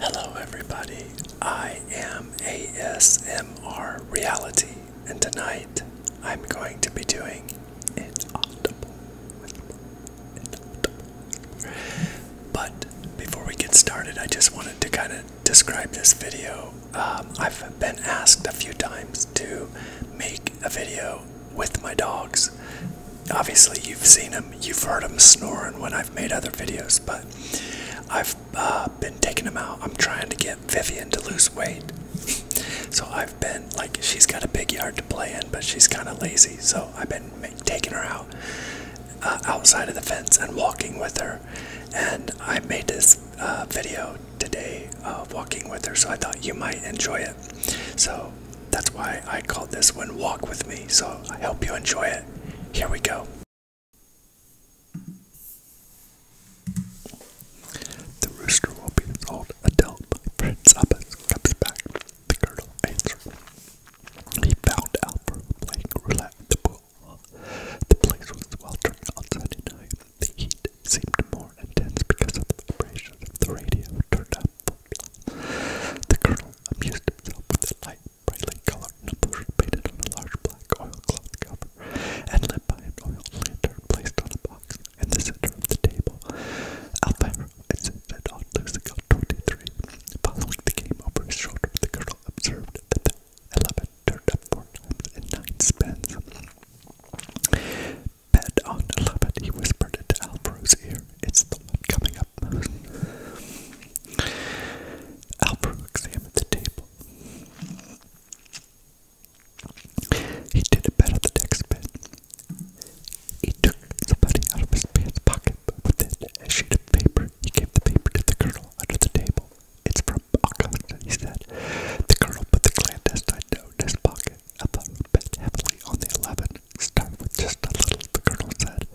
Hello, everybody. I am ASMR Reality, and tonight I'm going to be doing it. But before we get started, I just wanted to kind of describe this video um, I've been asked a few times to make a video with my dogs. Obviously, you've seen them, you've heard them snoring when I've made other videos, but I've uh, been taking them out. I'm trying to get Vivian to lose weight. so I've been, like, she's got a big yard to play in, but she's kind of lazy, so I've been taking her out. Uh, outside of the fence and walking with her and I made this uh, video today uh, walking with her, so I thought you might enjoy it. So that's why I called this one Walk With Me. So I hope you enjoy it. Here we go. The rooster will be told until my friend comes back. The colonel answered. He found out playing roulette at the pool. The place was sweltering on Sunday night. The heat seemed more intense because of the vibrations of the radio turned up full The colonel amused himself with a light, brightly colored numbers painted on a large black oilcloth cover and lit by an oil lantern placed on a box in the center of the table. Alvaro insisted on losing on 23. Following the game over his shoulder, the colonel observed that the 11 turned up four times and nine spins. Bet on eleven, he whispered into Alvaro's ear. It's the one coming up most. examined the table. He did a bet on the next bet. He took some money out of his pants pocket, but with it, a sheet of paper, he gave the paper to the colonel under the table. It's from from Auckland, he said. The colonel put the clandestine note in his pocket. I thought it heavily on the 11. Start with just a little, the colonel said.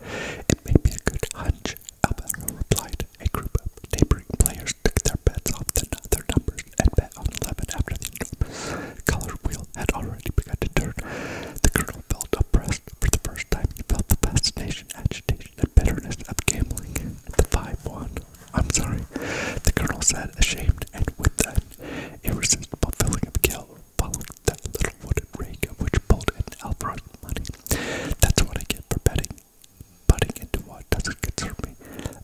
It may be a good hunch, the colonel replied. A group of neighboring players took their bets off the, their numbers and bet on 11 after the the color wheel had already begun to turn. The colonel felt oppressed. For the first time, he felt the fascination, agitation, and bitterness of gambling. The 5 won. I'm sorry, the colonel said, ashamed, and with that irresistible feeling of guilt followed that little wooden rake which pulled in Alfred's money. That's what I get for betting, butting into what doesn't concern me.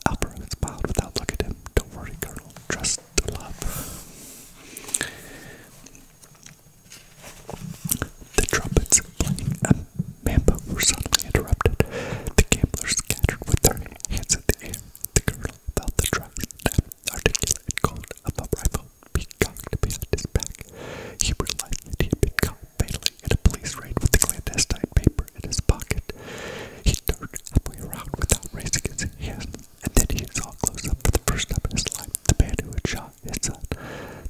Alfred smiled without looking at him. Don't worry, Colonel, trust the love. The trumpets playing Mamba was suddenly interrupted. The gamblers scattered with their hands in the air. The girl felt the truck snap, articulate cold of a rifle being cocked behind his back. He realized that he had been caught fatally in a police raid with the clandestine paper in his pocket. He turned halfway around without raising his hand, and then he saw close up for the first time in his life the man who had shot his son.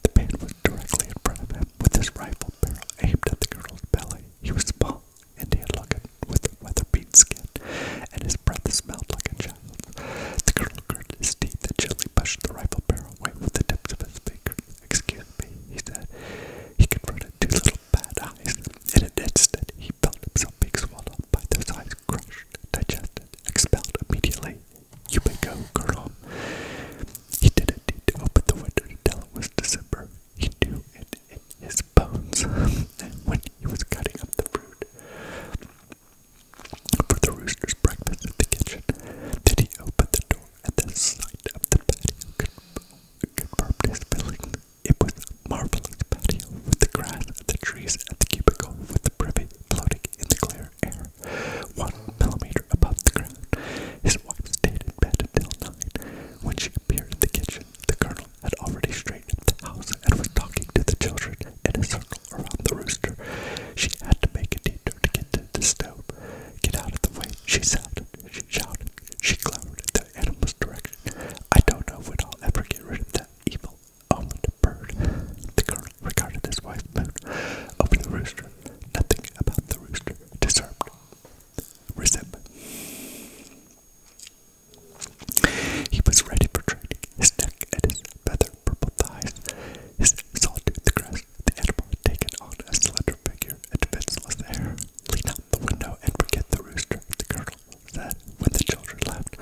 The man was directly in front of him with his rifle barrel aimed at the girl's belly. He was small and he with weather beat skin, and his breath smelled like a child. The colonel gritted his teeth and gently pushed the rifle barrel away with the tips of his fingers. Excuse me, he said. He confronted two little bad eyes. In an he felt himself being swallowed by those eyes, crushed, digested, expelled immediately. You may go, Colonel. He didn't need to open the window to tell it was December. He knew it in his bones when he was cutting up the fruit for the rooster's breakfast in the kitchen. Then he opened the door, and the sight of the patio confirmed his feeling. It was a marvelous patio with the grass the trees and the cubicle with the privy floating in the clear air, one millimeter above the ground. His wife stayed in bed until nine, when she appeared in the kitchen, the colonel had already straightened up the house and was talking to the children in a circle around the rooster. She had to make a detour to get to the stove. Get out of the way, she shouted. She shouted. She glowered in the animal's direction. I don't know when I'll ever get rid of that evil omened bird. The colonel regarded his wife moon over the rooster. Nothing about the rooster disturbed Recep. He was ready for training, his neck and his feather purple thighs, his solitude the grass, the animal taken on a slender figure and defenseless hair. Lean out the window and forget the rooster, the girl said when the children left.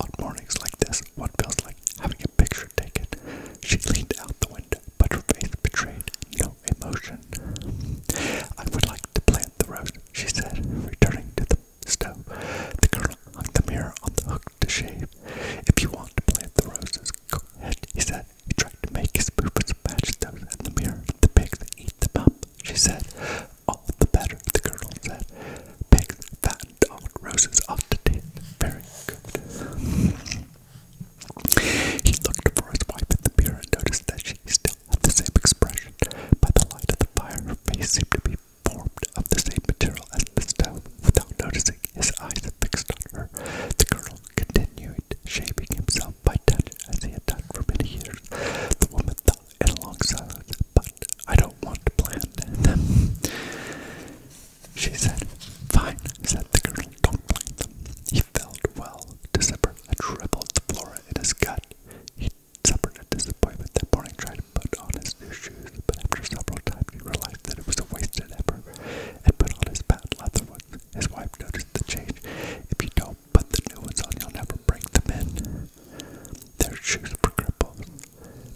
On mornings like this, one feels like having a picture taken. She leaned out the window, but her face betrayed no emotion. I would like to plant the rose, she said, returning to the stove. The colonel hung the mirror on the hook to shave. If you want to plant the roses, go ahead, he said. He tried to make his boots match those in the mirror. The pigs eat the up, she said. All the better, the colonel said. Pigs fattened on roses ought to taste very good. He looked for his wife in the mirror and noticed that she still had the same expression. By the light of the fire, her face seemed to be formed of the same material as the stove. Without noticing, his eyes fixed on her. The colonel continued shaving himself by touch, as he had done for many years. The woman thought in a long silence, but I don't want to plan them. She said, Fine, said the colonel, don't plan he felt well to supper had shriveled the flora in his gut. He suffered a disappointment that morning, tried to put on his new shoes, but after several times he realized that it was a wasted effort and put on his patent leather ones. His wife noticed the change. If you don't put the new ones on, you'll never break them in. Their shoes were cripples.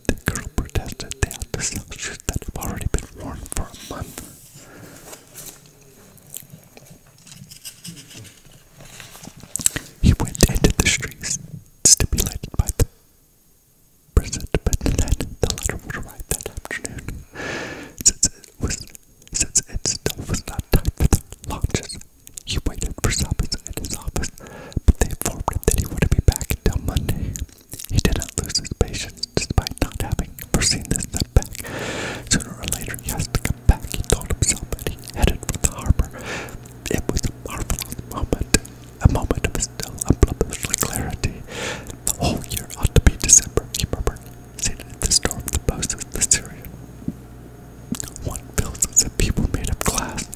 The girl protested they had to sell shoes that have already been worn for a month. He went into the streets, stimulated by the present, but then the letter would arrive that afternoon. Since it was since it still was not time for the launches, he waited for Sabin's in his office, but they informed him that he would be back until Monday. He didn't lose his patience despite not having foreseen this setback. Sooner or later, he has to come back, he told himself, and he headed for the harbor. It was a marvelous moment, a moment of still unblemished clarity. The whole year ought to be December, he murmured, seated at the store of the post of the Syrian. One feels as people made of glass.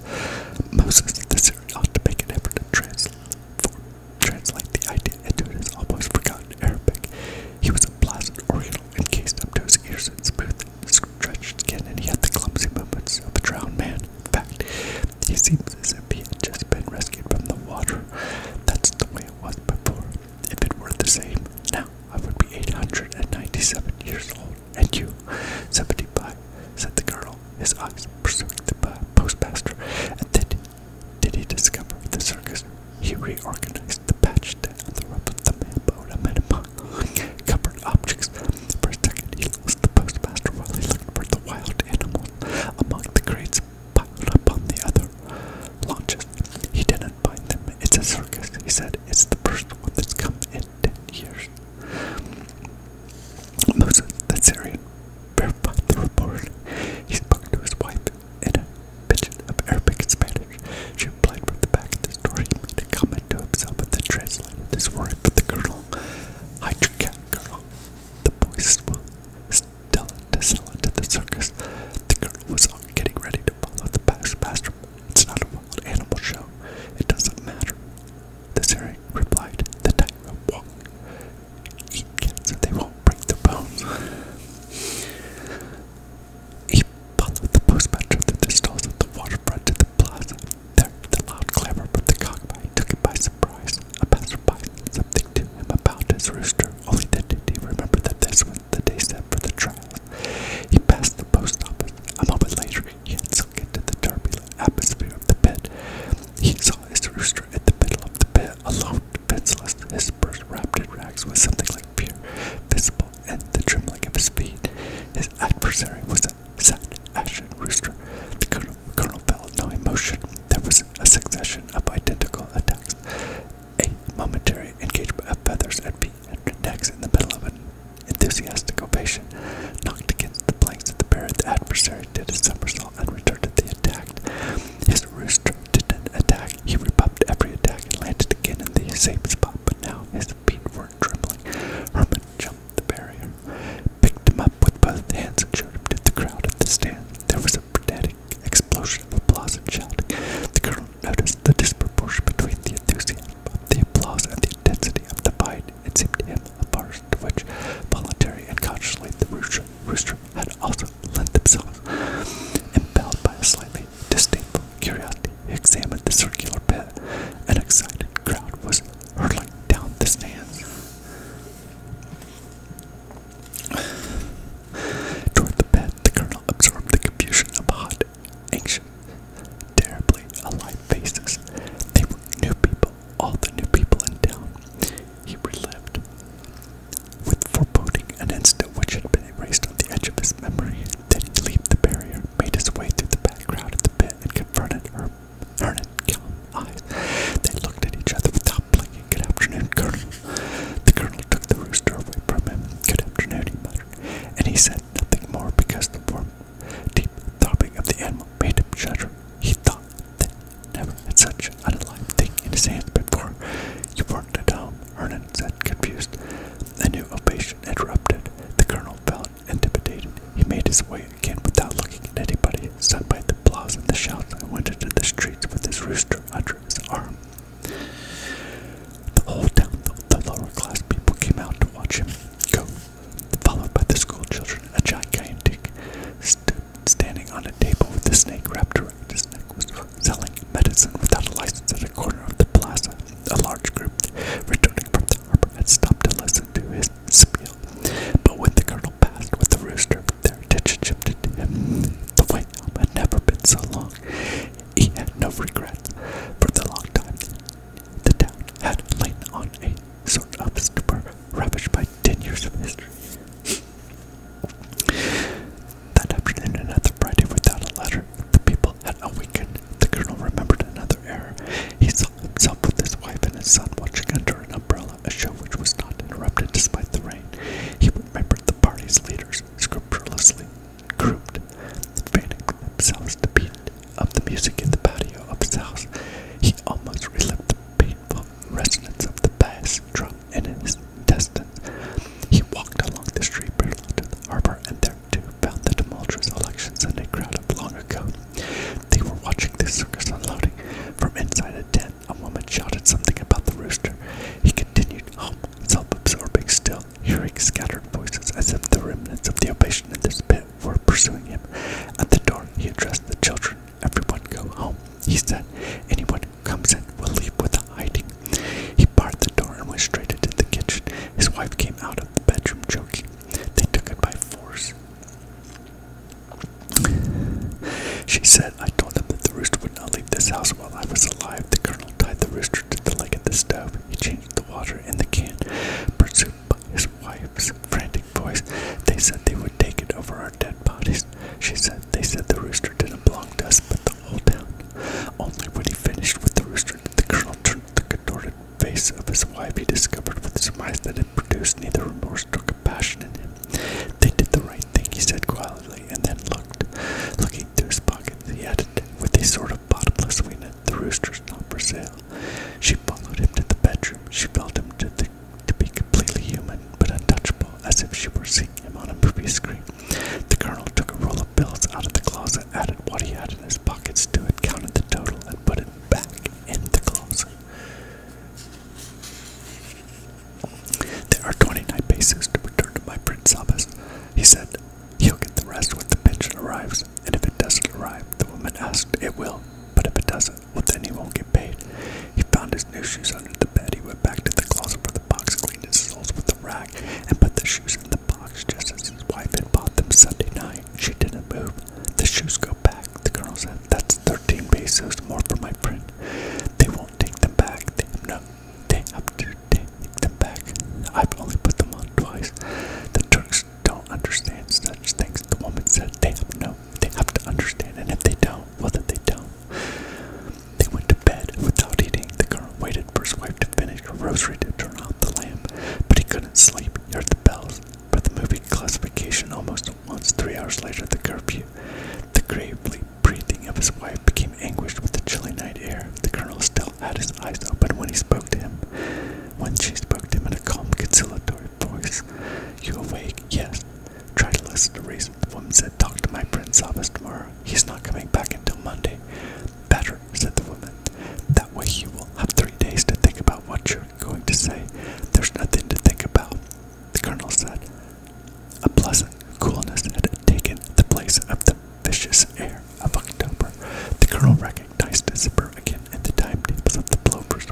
Moses, the Syrian, ought to make an effort to translate for translate the idea into his almost forgotten Arabic. He was a placid oriental, encased up to his ears in smooth, stretched skin, and he had the clumsy movements of a drowned man. In fact, he seems as if he had just been rescued from the water. That's the way it was before. If it were the same now, I would be 897 years old, and you, 75, said the girl, his eyes pursuing the postmaster, and then did he discover the circus? He reorganized the patch tent the rope of the man mailboat amid covered objects. Per second, he lost the postmaster while he looked for the wild animals among the crates piled up on the other launches. He didn't find them. It's a circus, he said. It's the first one that's come in ten years. Moses, the Syrian, verified the report. He spoke to his wife in a pidgin of Arabic and Spanish. She replied from the back of the store. He made a comment to himself and then translated this word for the colonel. Hide your cat, girl. The boys will tell it to sell it to the circus. The girl was on getting ready to follow the past pastor. It's not a wild animal show. It doesn't matter. The Syrian replied, the tightrope walk eat cats and they won't break the bones. He followed the postmaster through the stalls at the waterfront to the plaza. There, the loud clamor but the cockpit took him by surprise. A passerby said something to him about his rooster, only then did he remember that this was the day set for the trial. He passed the post office. A moment later, he had sunk into the turbulent atmosphere of the pit. He saw his rooster at the middle love the bit alone, defenseless, his purse wrapped in rags was something like fear, visible in the trembling of his feet. His adversary was a sad, ashen rooster. The colonel, colonel felt no emotion. There was a succession of identical attacks, a momentary engagement of feathers and feet and necks in the middle of an enthusiastic ovation, knocked against the planks of the parrot. The adversary did a somersault and returned to the attacked. His rooster didn't attack. He rebuffed every attack and landed again in the same spot, but now his feet were trembling. Herman jumped the barrier, picked him up with both hands, and showed him to the crowd at the stand. There was a frenetic explosion of applause and shouting. The colonel noticed the disproportion between the enthusiasm of the applause and the intensity of the fight. It seemed to him a farce to which, voluntary and consciously, the rooster had also lent themselves. Impelled by a slightly disdainful curiosity, he examined the circular pit. An excited crowd was hurtling down the stands. Toward the pit, the colonel absorbed the confusion of hot, anxious, terribly alive faces. They were new people, all the new people in town. He relived with foreboding, an instant which had been erased on the edge of his memory, then he leaped the barrier, made his way through the background of the pit, and confronted her Vernon eyes. They looked at each other without blinking. Good afternoon, Colonel. The Colonel took the rooster away from him. Good afternoon, he muttered, and he said nothing more because the warm, deep throbbing of the animal made him shudder. He thought that never had such an live thing in his hands before. You weren't at home, Hernan said, confused. A new ovation interrupted. The colonel felt intimidated. He made his way again without looking at anybody, stunned by the applause and the shouts, and went into the streets with his rooster under his arm. The whole town, the, lower class people, came out to watch him go, followed by the school children and John standing on a table with a snake wrapped around his neck was selling medicine without a license at a corner of the plaza. A large group returning from the harbor had stopped to listen to his spiel. But when the colonel passed with the rooster, their attention shifted to him. The wait home had never been so long. He had no regrets. For the long time, the town had lain on a sort of stupor, ravished by 10 years of history. That afternoon, another Friday without a letter, the people had awakened. The colonel remembered another error. He saw himself with his wife and his son watching under an umbrella, a show which was not interrupted despite the rain. He remembered the party's leaders, scrupulously grouped, fanning themselves to beat of the music in the patio of his house. He almost relived the painful resonance of the bass drum petrol in his intestines. He walked along the street parallel to the harbor and there too found the tumultuous elections and a crowd of long ago. They were watching the circus unloading. From inside a tent, a woman shouted something about the rooster. He continued self-absorbing still, hearing scattered voices as if the remnants of the ovation in this pit were pursuing him. At the door, he addressed the children Everyone go home, he said. Anyone who comes in will leave without hiding. He barred the door and went straight into the kitchen. His wife came out of the bedroom choking. They took it by force. She said, I told them that the rooster would not leave this house while I was alive. The colonel tied the rooster to the leg of the stove. He changed the water in the can. Pursued by his wife's frantic voice, they said they would take it over our dead bodies. She said, they said the rooster didn't belong to us, but the whole town. Only when he finished with the rooster the colonel turned the contorted face of his wife. He discovered with surprise that it produced neither remorse nor compassion in him. They did the right thing, he said quietly, and then looked. Looking through his pocket, he added, with a sort of bottomless weakness, the rooster's not for sale. She followed him to the bedroom. She felt him to the to be completely human but untouchable, as if she were seeing him on a movie screen. The colonel took a roll of bills out of the closet, added what he had in his pockets to it, counted the total, and put it back in the closet. There are 29 paces to return to my Prince Abbas, he said. He'll get the rest when the pension arrives, and if it doesn't arrive, the woman asked, it will, but if it doesn't, well, then he won't get paid. He found his new shoes under the bed. He went back to the closet for the box, cleaned his soles with the rag, and put the shoes in the box just as his wife had bought them Sunday night. She didn't move. The shoes go back, the colonel said. That's 13 pesos more for my friend. They won't take them back. They have no. They have to take them back. I've only put them on twice. The Turks don't understand such things. The woman said they no. They have to understand, and if they don't, well, then they don't. They went to bed without eating. The colonel waited for his wife to finish her rosary to turn off the lamp, but he couldn't sleep. He heard the bells but the movie classification almost at once. Three hours later, the curfew. The gravely breathing of his wife became anguished with the chilly night air. The colonel still had his eyes open when he spoke to him. When she spoke to him in a calm, conciliatory voice, You awake? Yes. Try to listen to reason. The woman said, Talk to my prince Sabas tomorrow. He's not coming back until Monday. Better, said the woman. That way he will have three days to think about what you're going to say. There's nothing to think about, the colonel said. A pleasant coolness had taken the place of the vicious air of October. The colonel recognized the zipper again at the timetables of the blowers.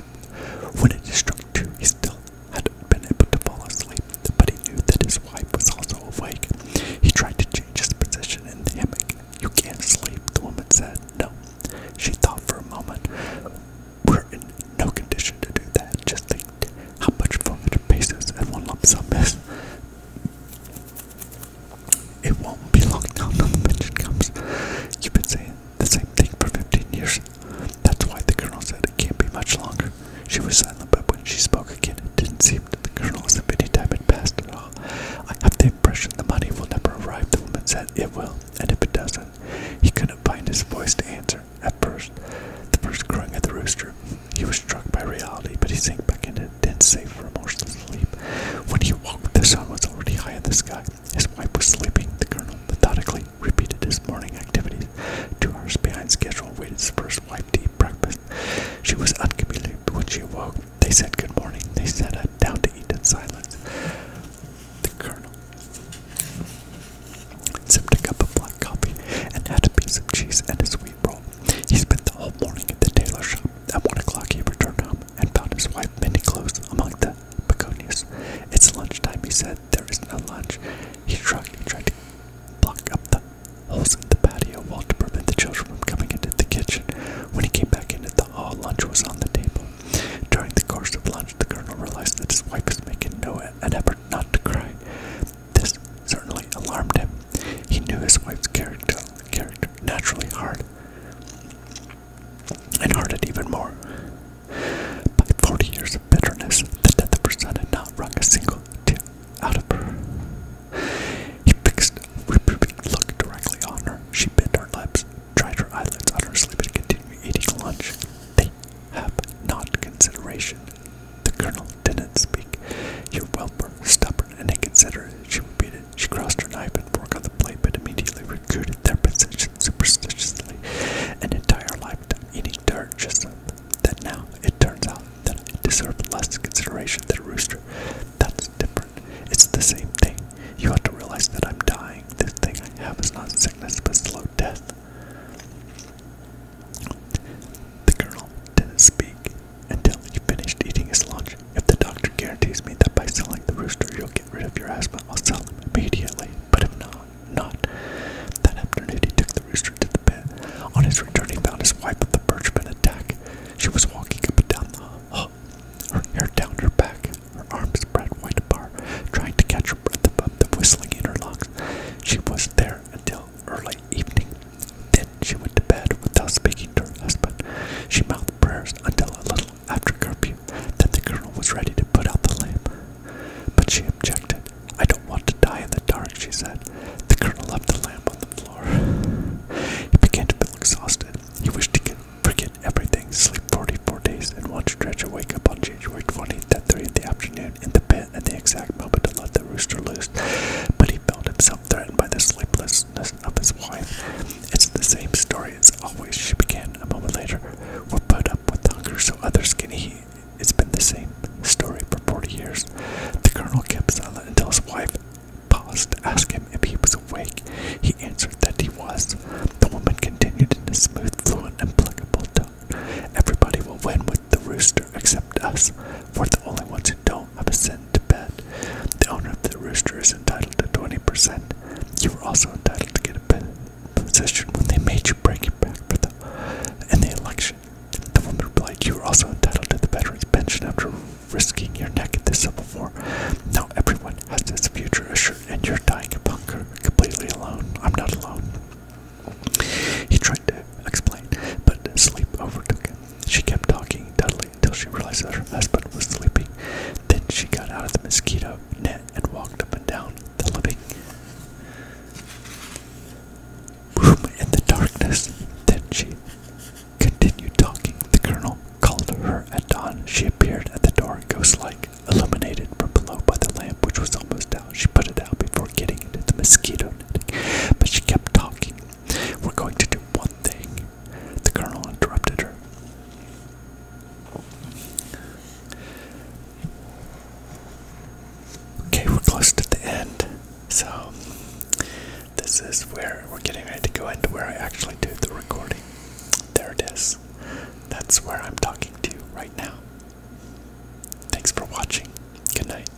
When it struck two, he still had been able to fall asleep, but he knew that his wife was also awake. He tried to change his position in the hammock. You can't sleep, the woman said. No. She thought for a moment. We're in no condition to do that. Just think how much 400 pesos and one lump sum is. It won't be long now, no mention comes. You've been saying the same thing for 15 years. That's why the colonel said it can't be much longer. She was silent, but when she spoke again, it didn't seem that the colonel as if any time had passed at all. I have the impression the money will never arrive, the woman said. It will, and if it doesn't, he couldn't find his voice to answer. At first, the first crowing of the rooster, he was struck by reality, but he sank back into a dense, safe, remorseless sleep. When he woke, the sun was already high in the sky. His wife was sleeping. The colonel methodically repeated his morning activities. Two hours behind schedule, waited his first wife to eat breakfast. She was uncommitted when she awoke. They said good morning. They sat down to eat in silence. The colonel sipped a cup of black coffee and had a piece of cheese and a sweet roll. He spent the whole morning at the tailor shop. At one o'clock, he returned home and found his wife mending clothes among the begonias. It's lunchtime, he said there is no lunch. He shrugged tried to block up the holes in the patio wall to prevent the children from coming into the kitchen. When he came back into the hall, lunch was on the table. During the course of lunch, the colonel realized that his wife was making no an effort not to cry. This certainly alarmed him. He knew his wife's character, character naturally hard, and hearted even more. By forty years of bitterness, the death of her son had not wrung a single tear out of her. He fixed a reproving look directly on her. She bit her lips, dried her eyelids on her sleep, and continued eating lunch. They have not consideration. The colonel didn't speak. Your whelper, stubborn and inconsiderate, she repeated. She crossed her knife and fork on the plate, but immediately recruited their possessions superstitiously an entire lifetime, eating dirt just that now it turns out that it deserved less consideration than a rooster. That's different. It's the same thing. You have to realize that I'm dying. This thing I have is not sickness but slow death. The girl didn't speak until he finished eating his lunch. If the doctor guarantees me that by selling the rooster you'll get rid of your asthma, I'll sell him immediately. But if not, not. That afternoon he took the rooster to the pit. On his return he found his wife with the birchman attack. She was walking up and down the hall, her hair down her back, her arms spread wide apart, trying to catch her breath above the whistling in her lungs. She was there until early evening. Then she went to bed without speaking to her husband. She mouthed prayers until a little after curfew. Then the colonel was ready to put out the lamp. But she objected. I don't want to die in the dark, she said. The colonel left the lamp on the floor. he began to feel exhausted. He wished to get, forget everything, sleep 44 days, and watch Stretcher wake up on January 20th at 3 in the afternoon in the pit at the exact moment to let the rooster loose. But he felt himself threatened by the sleeplessness of his wife. It's the same story as always, she began a moment later. We're put up with hunger, so others can eat. It's been the same story for 40 years. The colonel kept silent until his wife paused to ask him if he was awake. He answered that he was. The woman continued in a smooth, fluent, implacable tone. Everybody will win with the rooster except us. We're the only ones who don't have a cent to bet. The owner of the rooster is entitled to 20%. You are also entitled to get a bit position when they made you break your back for the in the election. The woman replied, You are also entitled to the veterans pension after risking your neck in the Civil War. Now everyone has this future assured, and you're dying of hunger completely alone. I'm not alone. He tried to explain, but sleep overtook him. She kept talking, dully until she realized that her husband was sleeping. Then she got out of the mosquito net and walked up and down the living room in the darkness. Then she continued talking. The colonel called her at dawn. She appeared at the door, ghost like, illuminated from below by the lamp, which was almost out. She put it out before getting into the mosquito netting, but she kept talking. We're going to do one thing. The colonel interrupted her. Okay, we're close to the end. So, this is where we're getting ready to go into where I actually do the recording. There it is. That's where I'm talking to you right now. Thanks for watching. Good night.